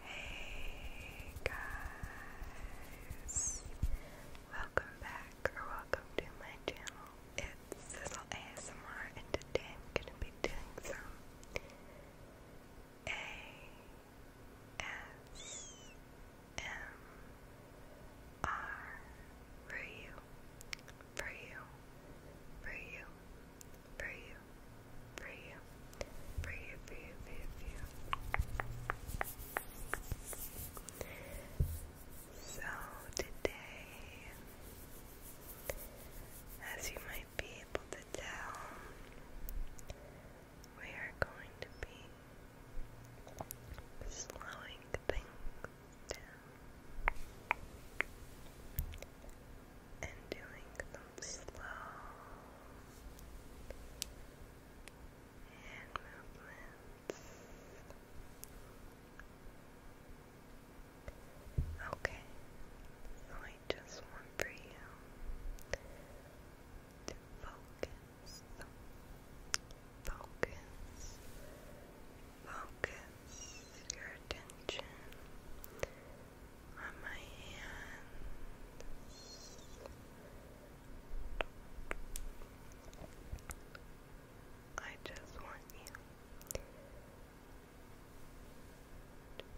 Hey guys, welcome back or welcome to my channel. It's Sizzle ASMR and today I'm going to be doing some ASMR for you, for you, for you, for you, for you, for you, for you, for you, So today, as you might be able to tell, we are going to be slowing things down and doing them slow hand movements. Okay, I just want for you to focus, focus, focus your attention on my hands. I just want you to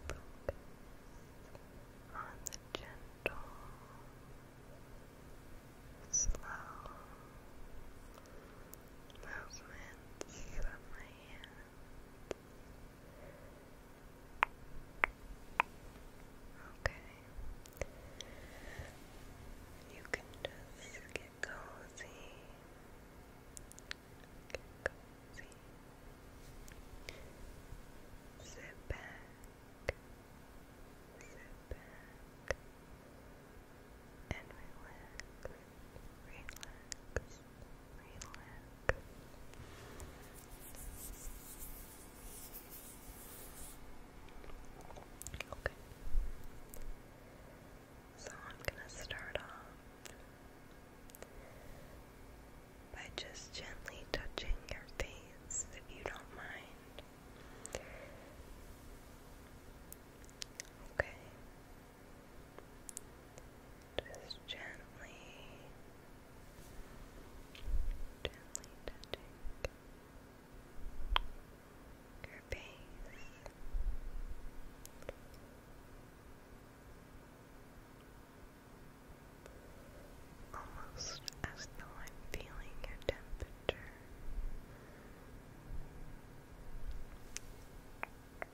focus on the gentle, slow movements of my hands. Okay. You can just get cozy. cozy. Sit back. Sit back. And relax relax, relax. Okay. So I'm going to start off by just gently touching your face if you don't mind. Okay. Just gently, gently touching your face. Almost as though I'm feeling your temperature. Okay,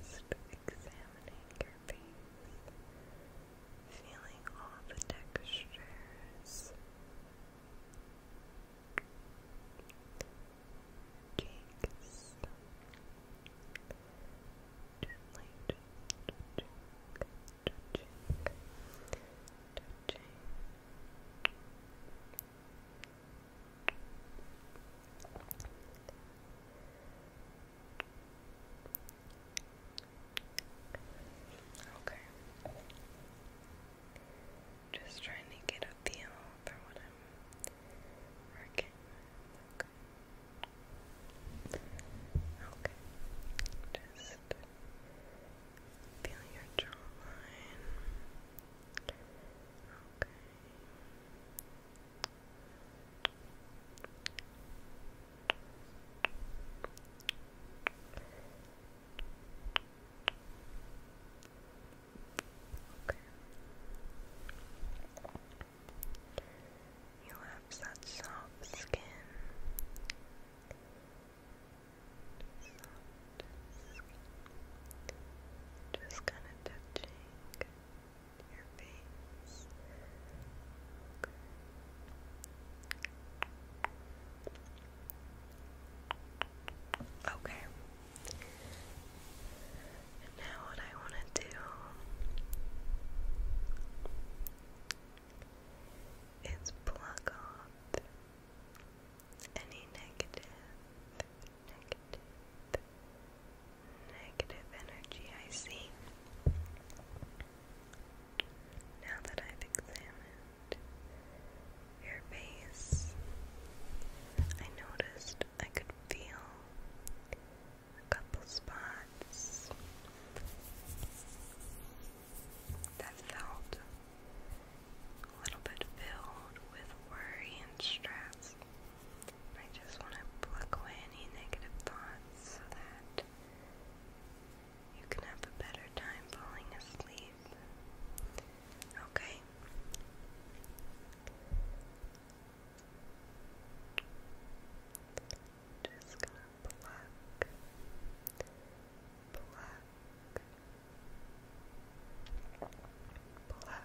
just examining your face, feeling all the textures. Cheeks. Gently, just touching, touching. Okay. Just trying to get a feel for what I'm working Okay, just feel your jawline. Okay. Okay. You have such soft skin. Just kind of touching your face. Okay. now what I want to do it's plugged off any negative, negative, negative energy I see. Now that I've examined your face, I noticed I could feel a couple spots that felt a little bit filled with worry and stress. I just want to pluck away any negative thoughts so that you can have a better time falling asleep. Okay just gonna pluck, pluck, pluck. Pluck. Pluck.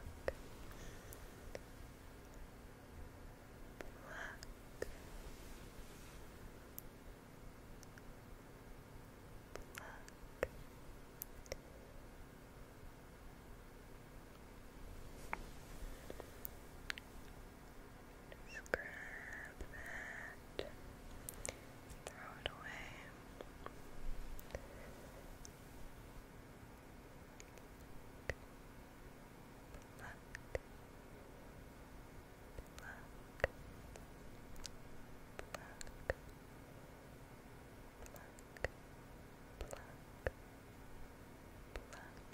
Just grab that, throw it away. Pluck, pluck, pluck, pluck, pluck, pluck.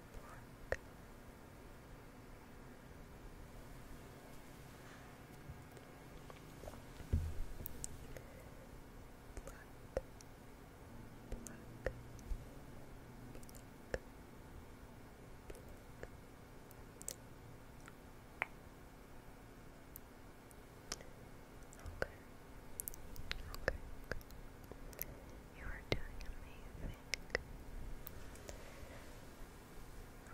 Pluck. Pluck. Pluck. Okay. Okay. You are doing amazing.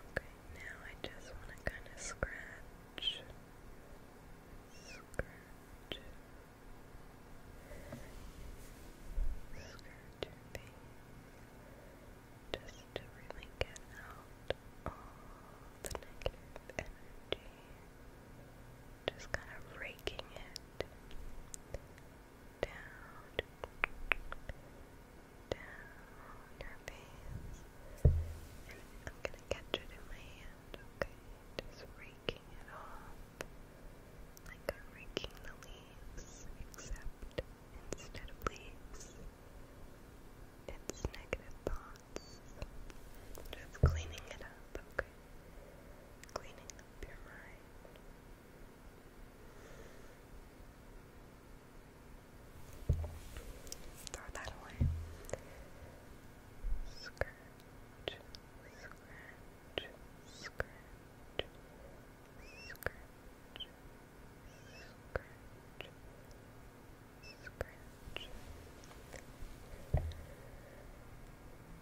Okay, now I just want to kind of scratch. Scratch. Scratch your face. Just to really get out all the negative energy. Just kind of raking it down, down your face. And I'm gonna catch it in my hand, okay? Just raking it off. Like raking the leaves, except instead of leaves, it's negative thoughts. Just cleaning it up, okay? Cleaning Throw that away. Scratch, scratch, scratch, scratch, scratch. Scratch.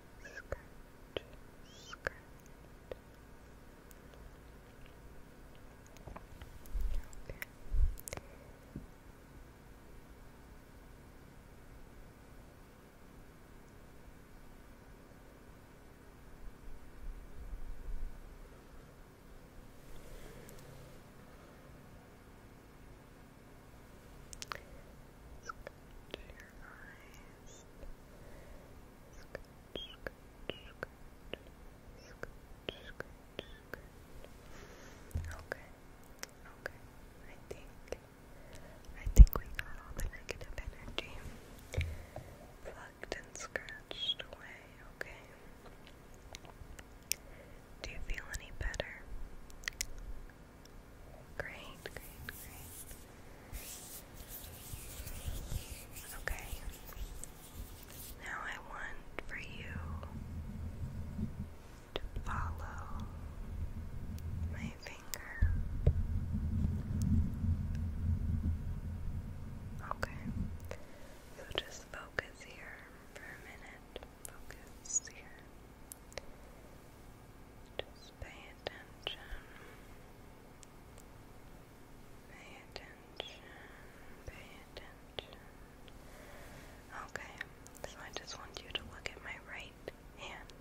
skirt, skirt. Okay. Okay, okay. I think, I think we got all the negative energy plugged and scratched away. Okay. Do you feel any better? Great, Okay. Now I want for you to follow my finger. Okay. So just focus here for a minute. Focus here. Just pay attention. Pay attention. Pay attention. Okay, so I just want you to look at my right hand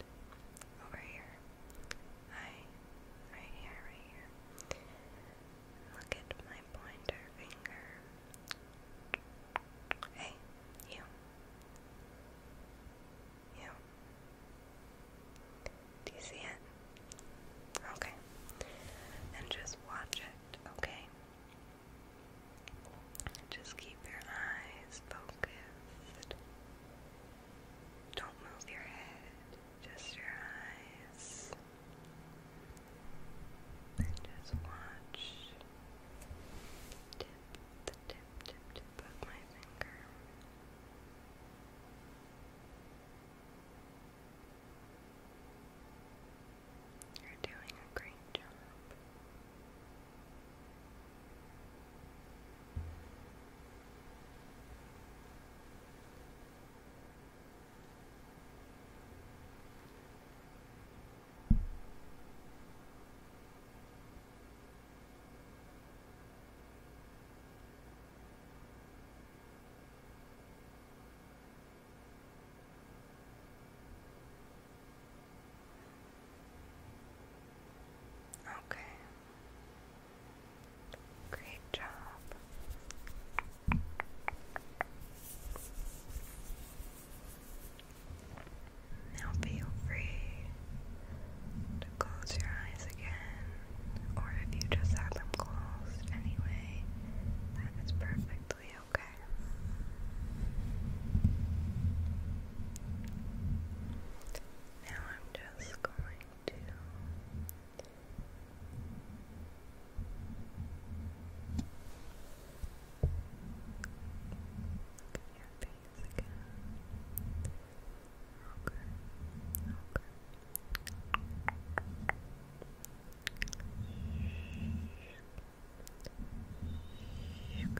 over here. I right here, right here. Look at my pointer finger. Hey, you you. Do you see it? Okay. And just watch it, okay? Just keep your eyes focused. Don't move your head, just your eyes. just watch tip, the tip, of my finger. You're doing a great job. Okay. Great job. Now feel free to close your eyes again, or if you just have them closed anyway, that is perfectly okay. Now I'm just going to Look at your face eyes again. Okay, okay. Shoop. Shoop. Shoop.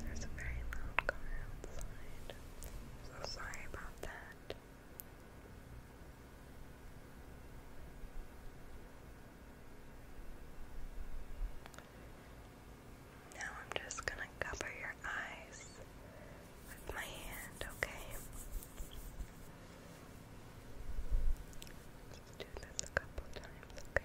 There's a very loud car outside. I'm so sorry about that. Now I'm just gonna cover your eyes with my hand, okay? Just do this a couple times, okay?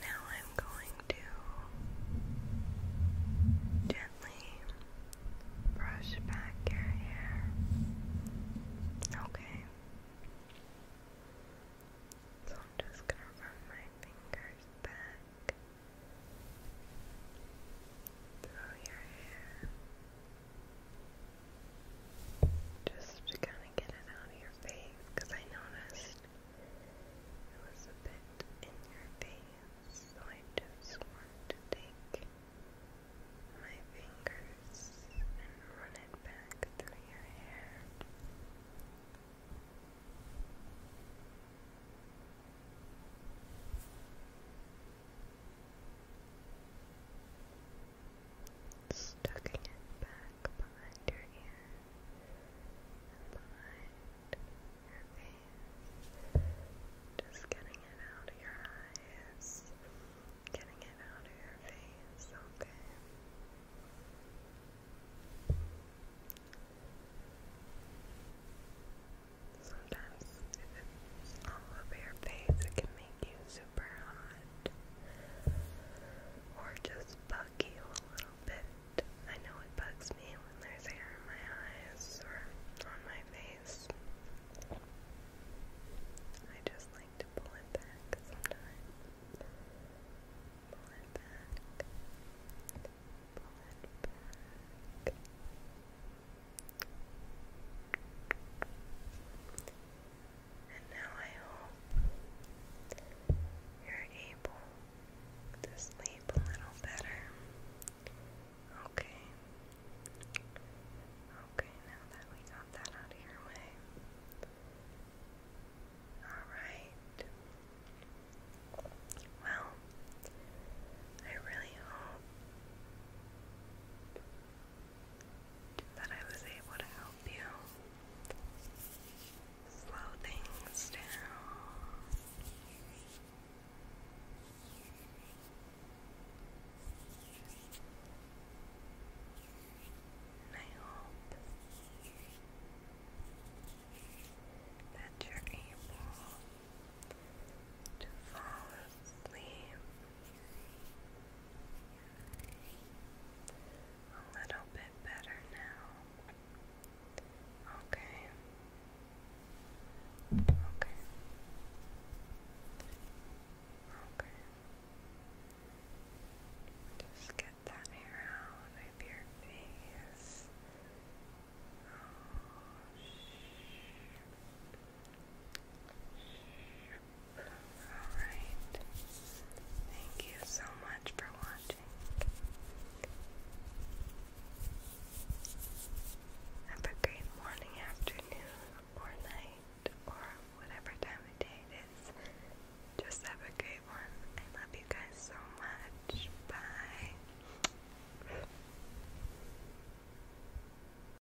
Now I'm going to gently brush back your hair. Okay. So I'm just gonna run my fingers back through your hair. Just to kind of get it out of your face, because I noticed it was a bit in your face, so I just want to take my fingers and run it back through your hair. Stuck in it back behind your ears, behind your face. Just getting it out of your eyes. Getting it out of your face, okay? Sometimes if it's all over your face, it can make you super hot or just bug you a little bit. I know it bugs me when there's hair in my eyes or on my face. I just like to pull it back sometimes. Pull it back. Pull it back. And now I hope you're able to sleep a little better. Okay. Okay, now that we got that out of your way. Alright. Well, I really hope that I was able to help you slow things down. I hope that you're able to fall asleep a little bit better now. Okay. Okay. Okay. Just get that hair out of your face. Oh, shh. Alright. Thank you so much for watching. Have a great morning, afternoon, or night, or whatever time of day it is. Just have a great one. I love you guys so much. Bye.